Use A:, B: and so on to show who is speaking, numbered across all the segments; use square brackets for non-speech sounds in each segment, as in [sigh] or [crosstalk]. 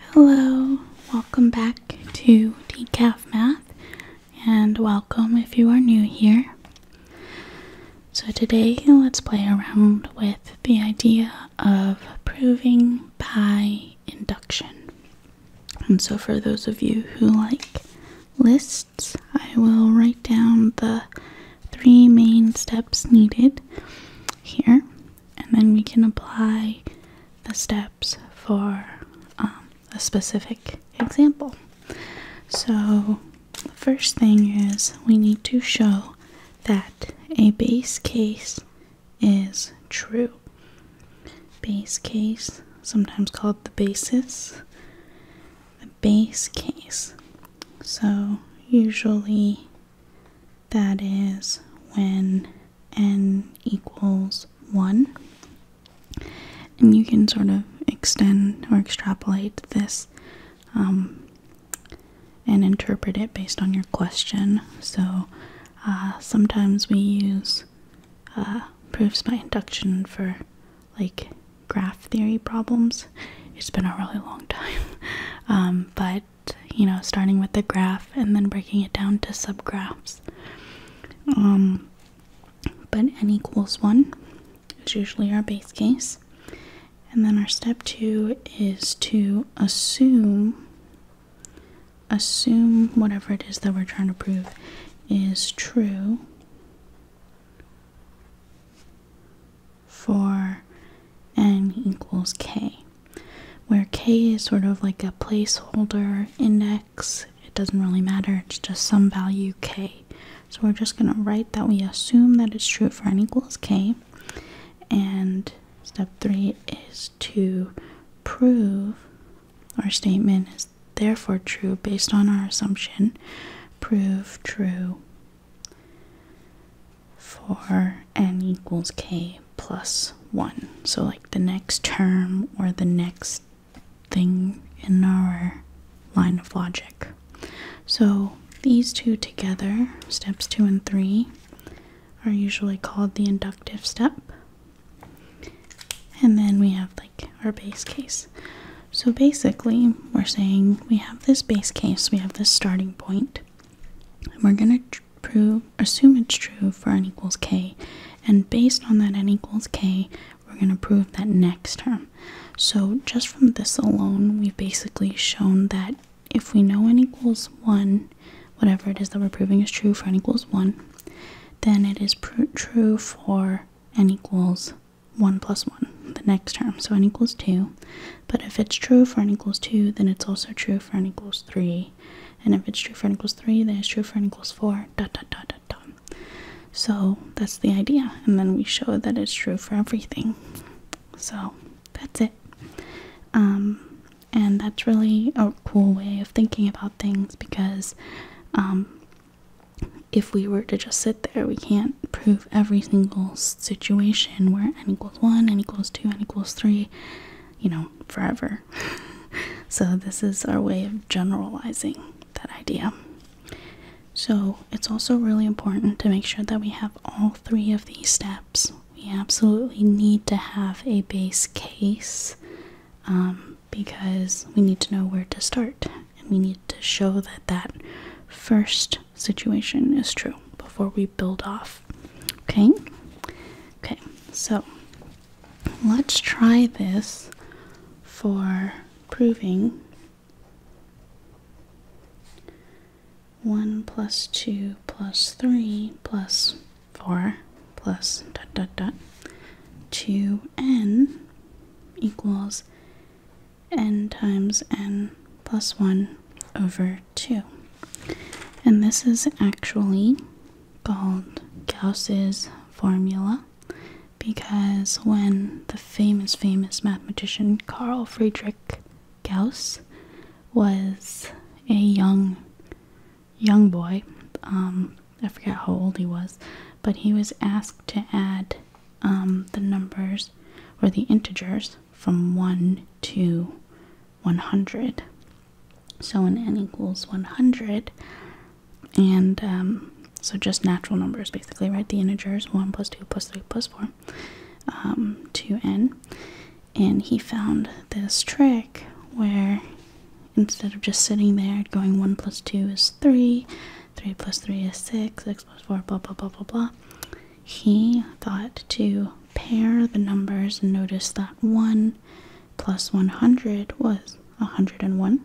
A: Hello, welcome back to Decaf Math, and welcome if you are new here. So, today let's play around with the idea of proving by induction. And so, for those of you who like lists, I will write down the three main steps needed here and then we can apply the steps for um, a specific example. So, the first thing is we need to show that a base case is true. Base case, sometimes called the basis, the base case. So, usually that is when n equals 1. And you can sort of extend or extrapolate this um, and interpret it based on your question. So uh, sometimes we use uh, proofs by induction for like graph theory problems. It's been a really long [laughs] time. Um, but you know, starting with the graph and then breaking it down to subgraphs. Um, but n equals 1 is usually our base case. And then our step 2 is to assume assume whatever it is that we're trying to prove is true for n equals k, where k is sort of like a placeholder index. It doesn't really matter, it's just some value k. So we're just going to write that we assume that it's true for n equals k. And step three is to prove our statement is therefore true based on our assumption. Prove true for n equals k plus 1. So, like the next term or the next thing in our line of logic. So, these two together, steps 2 and 3, are usually called the inductive step. And then we have like our base case. So basically, we're saying we have this base case, we have this starting point, and we're going to prove, assume it's true for n equals k. And based on that n equals k, we're going to prove that next term. So just from this alone, we've basically shown that if we know n equals 1, whatever it is that we're proving is true for n equals 1, then it is true for n equals 1 plus 1, the next term. So n equals 2. But if it's true for n equals 2, then it's also true for n equals 3. And if it's true for n equals 3, then it's true for n equals 4, dot, dot, dot, dot, dot. So that's the idea. And then we show that it's true for everything. So that's it. Um, and that's really a cool way of thinking about things because um, if we were to just sit there. We can't prove every single situation where n equals 1, n equals 2, n equals 3, you know, forever. [laughs] so, this is our way of generalizing that idea. So, it's also really important to make sure that we have all three of these steps. We absolutely need to have a base case um, because we need to know where to start and we need to show that that first situation is true before we build off. Okay? Okay, so let's try this for proving 1 plus 2 plus 3 plus 4 plus dot dot dot 2n equals n times n plus 1 over 2. And this is actually called Gauss's formula because when the famous, famous mathematician Carl Friedrich Gauss was a young, young boy, um, I forget how old he was, but he was asked to add um, the numbers or the integers from 1 to 100. So when n equals 100, and um, so just natural numbers basically, right? The integers 1 plus 2 plus 3 plus 4 um, to n. And he found this trick where instead of just sitting there going 1 plus 2 is 3, 3 plus 3 is 6, 6 plus 4, blah, blah, blah, blah, blah. He thought to pair the numbers and noticed that 1 plus 100 was 101.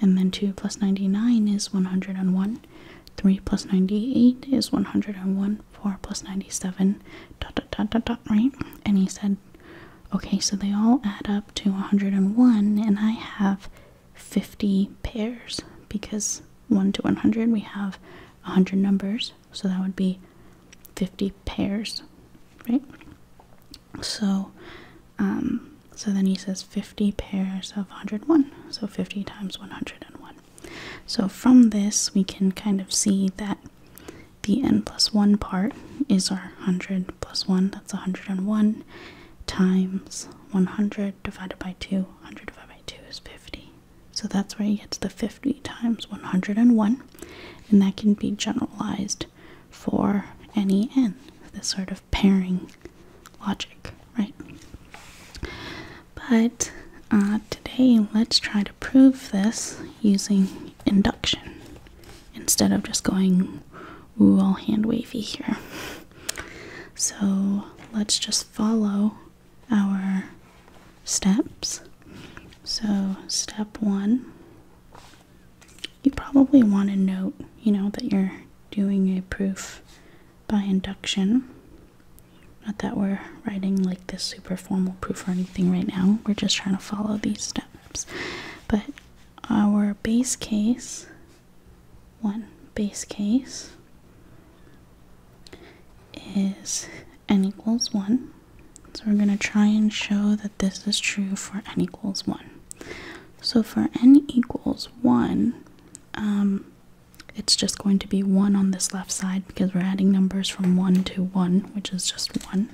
A: And then 2 plus 99 is 101. 3 plus 98 is 101. 4 plus 97, dot, dot, dot, dot, dot, right? And he said, okay, so they all add up to 101, and I have 50 pairs because 1 to 100 we have 100 numbers so that would be 50 pairs right so um, so then he says 50 pairs of 101 so 50 times 101 so from this we can kind of see that the n plus 1 part is our 100 plus 1 that's 101 times 100 divided by 2, 100 divided by 2 is 50. So that's where he gets the 50 times 101, and that can be generalized for any n, this sort of pairing logic, right? But uh, today, let's try to prove this using induction instead of just going Ooh, all hand wavy here. So let's just follow our steps. So, step one, you probably want to note, you know, that you're doing a proof by induction. Not that we're writing like this super formal proof or anything right now, we're just trying to follow these steps. But our base case, one base case is n equals 1. So we're going to try and show that this is true for n equals 1. So for n equals 1, um, it's just going to be 1 on this left side because we're adding numbers from 1 to 1, which is just 1.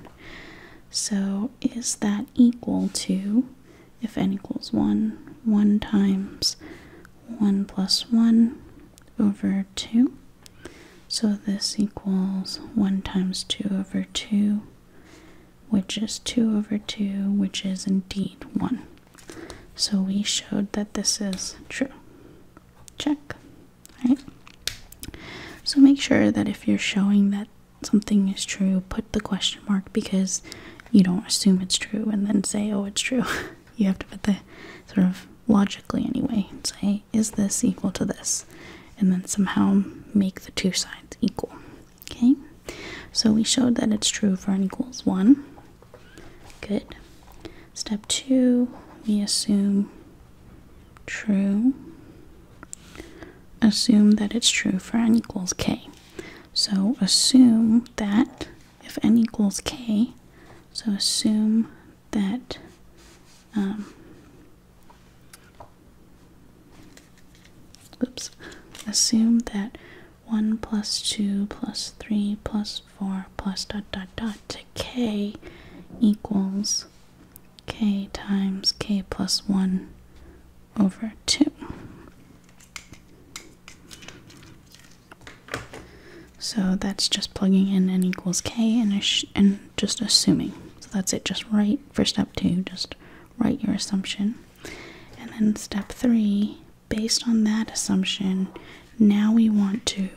A: So is that equal to if n equals 1, 1 times 1 plus 1 over 2. So this equals 1 times 2 over 2, which is 2 over 2, which is indeed 1. So we showed that this is true. Check. All right? So make sure that if you're showing that something is true, put the question mark because you don't assume it's true and then say, oh, it's true. [laughs] you have to put the sort of logically, anyway, and say, is this equal to this? And then somehow make the two sides equal. Okay, so we showed that it's true for n equals 1. Good. Step 2, we assume true Assume that it's true for n equals k. So assume that if n equals k, so assume that um, oops, assume that 1 plus 2 plus 3 plus 4 plus dot dot dot to k equals k times k plus 1 over 2. So that's just plugging in n equals k and, and just assuming. So that's it, just write for step 2, just write your assumption. And then step 3, based on that assumption, now we want to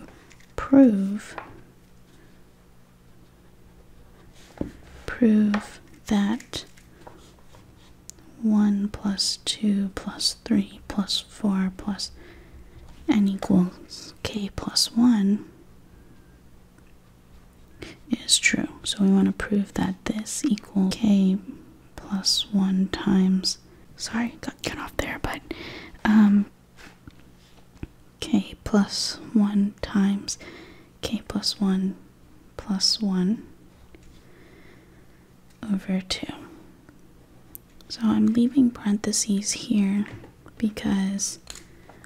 A: prove prove that 1 plus 2 plus 3 plus 4 plus n equals k plus 1 is true. So we want to prove that this equals k plus 1 times. Sorry, got cut off there, but um, k plus 1 times k plus 1 plus 1 over 2. So I'm leaving parentheses here because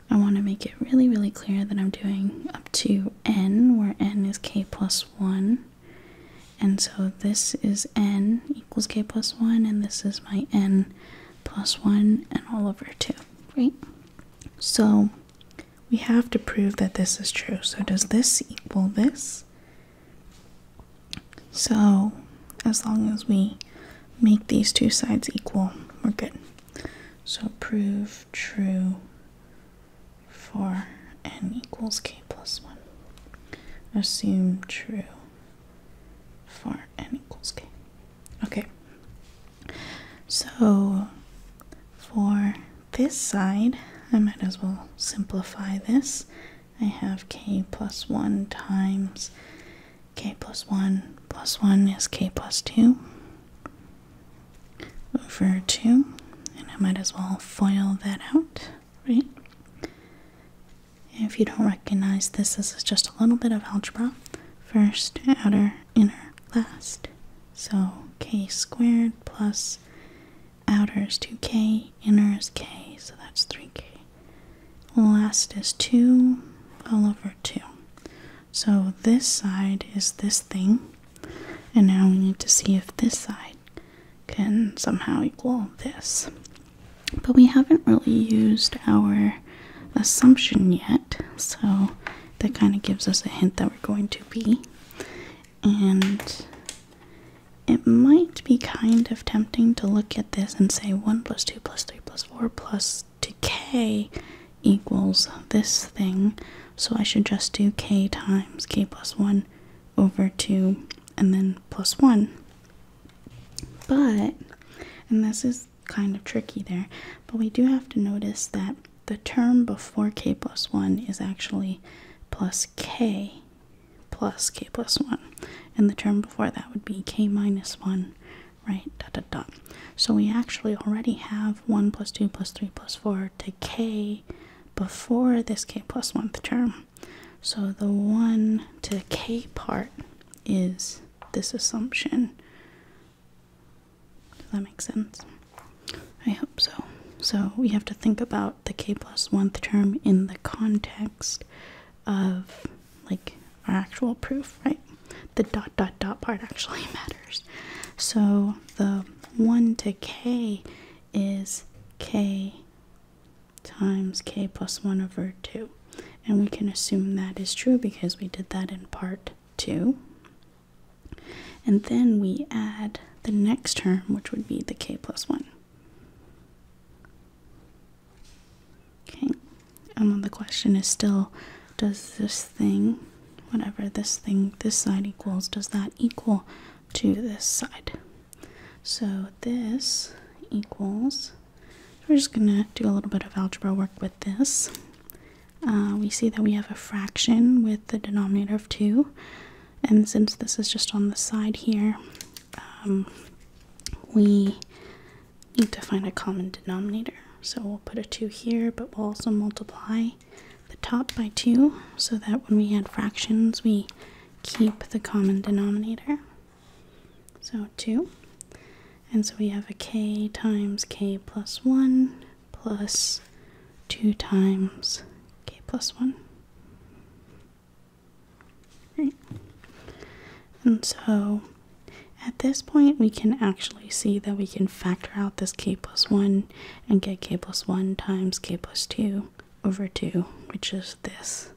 A: I want to make it really, really clear that I'm doing up to n, where n is k plus 1. And so this is n equals k plus 1, and this is my n plus 1, and all over 2 right? So we have to prove that this is true. So does this equal this? So as long as we make these two sides equal, we're good. So prove true for n equals k plus 1. Assume true for n equals k. Okay. So for this side, I might as well simplify this. I have k plus 1 times k plus 1 plus 1 is k plus 2 over 2. And I might as well FOIL that out, right? If you don't recognize this, this is just a little bit of algebra. First, outer, inner, last. So k squared plus outer is 2k, inner is k, so that's 3k. Last is 2 all over 2. So this side is this thing, and now we need to see if this side can somehow equal this. But we haven't really used our assumption yet, so that kind of gives us a hint that we're going to be. And it might be kind of tempting to look at this and say 1 plus 2 plus 3 plus 4 plus 2k equals this thing. So I should just do k times k plus 1 over 2 and then plus 1. But, and this is kind of tricky there, but we do have to notice that the term before k plus 1 is actually plus k plus k plus 1. And the term before that would be k minus 1, right? Dot dot dot. So we actually already have 1 plus 2 plus 3 plus 4 to k before this k one term. So the 1 to k part is this assumption. Does that make sense? I hope so. So we have to think about the k one term in the context of like our actual proof, right? The dot dot dot part actually [laughs] matters. So the 1 to k is k times k plus 1 over 2. And we can assume that is true because we did that in part 2. And then we add the next term, which would be the k plus 1. Okay, and then the question is still, does this thing, whatever this thing, this side equals, does that equal to this side? So this equals, we're just going to do a little bit of algebra work with this. Uh, we see that we have a fraction with the denominator of 2. And since this is just on the side here, um, we need to find a common denominator. So we'll put a 2 here, but we'll also multiply the top by 2 so that when we add fractions, we keep the common denominator. So 2. And so we have a k times k plus 1 plus 2 times k plus 1. Right. And so at this point we can actually see that we can factor out this k plus 1 and get k plus 1 times k plus 2 over 2, which is this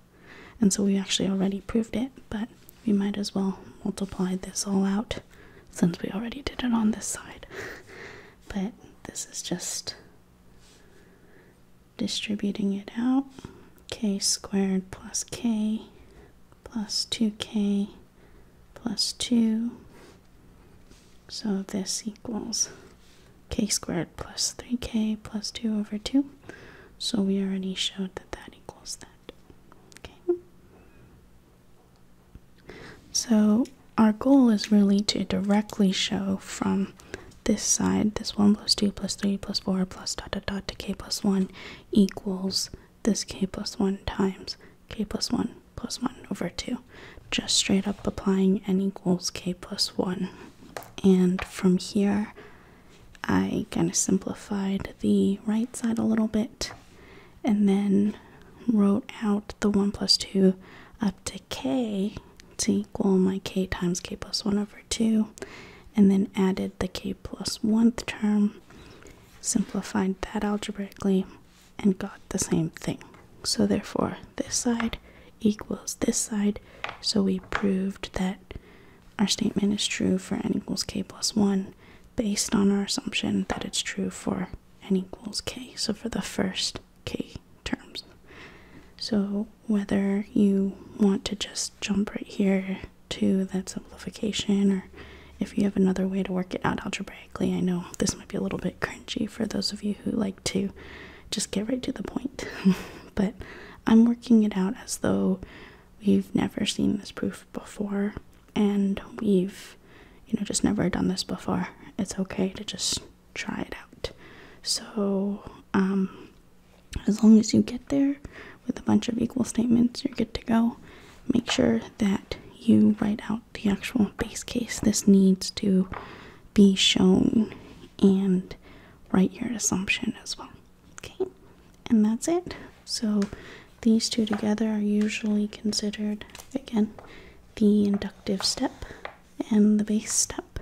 A: and so we actually already proved it but we might as well multiply this all out since we already did it on this side [laughs] but this is just distributing it out k squared plus k plus 2k plus 2 so this equals k squared plus 3k plus 2 over 2. So we already showed that that equals that. Okay. So our goal is really to directly show from this side, this 1 plus 2 plus 3 plus 4 plus dot dot dot to k plus 1 equals this k plus 1 times k plus 1 plus 1 over 2. Just straight up applying n equals k plus 1 and from here I kind of simplified the right side a little bit and then wrote out the 1 plus 2 up to k to equal my k times k plus 1 over 2 and then added the k plus 1 term simplified that algebraically and got the same thing so therefore this side equals this side, so we proved that our statement is true for n equals k plus 1 based on our assumption that it's true for n equals k, so for the first k terms. So whether you want to just jump right here to that simplification or if you have another way to work it out algebraically, I know this might be a little bit cringy for those of you who like to just get right to the point. [laughs] but I'm working it out as though we've never seen this proof before and we've, you know, just never done this before. It's okay to just try it out. So, um, as long as you get there with a bunch of equal statements, you're good to go. Make sure that you write out the actual base case. This needs to be shown and write your assumption as well. Okay, and that's it. So these two together are usually considered again the inductive step and the base step,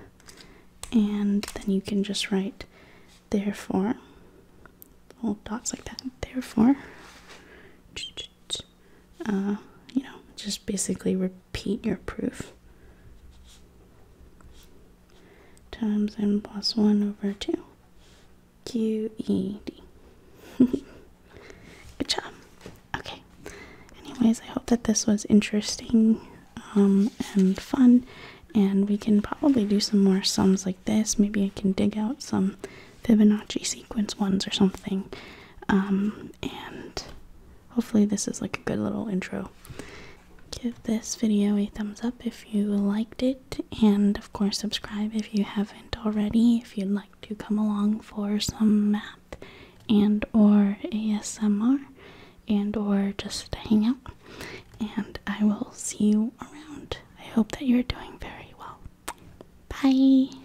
A: and then you can just write therefore little dots like that. Therefore, [tsk] uh, you know, just basically repeat your proof. Times n plus 1 over 2. QED. [laughs] Good job. Okay. Anyways, I hope that this was interesting um, and fun. And we can probably do some more sums like this. Maybe I can dig out some Fibonacci sequence ones or something. Um, and hopefully, this is like a good little intro. Give this video a thumbs up if you liked it, and of course, subscribe if you haven't already. If you'd like to come along for some math and or ASMR and or just hang out, and I will see you around. I hope that you're doing very well. Bye.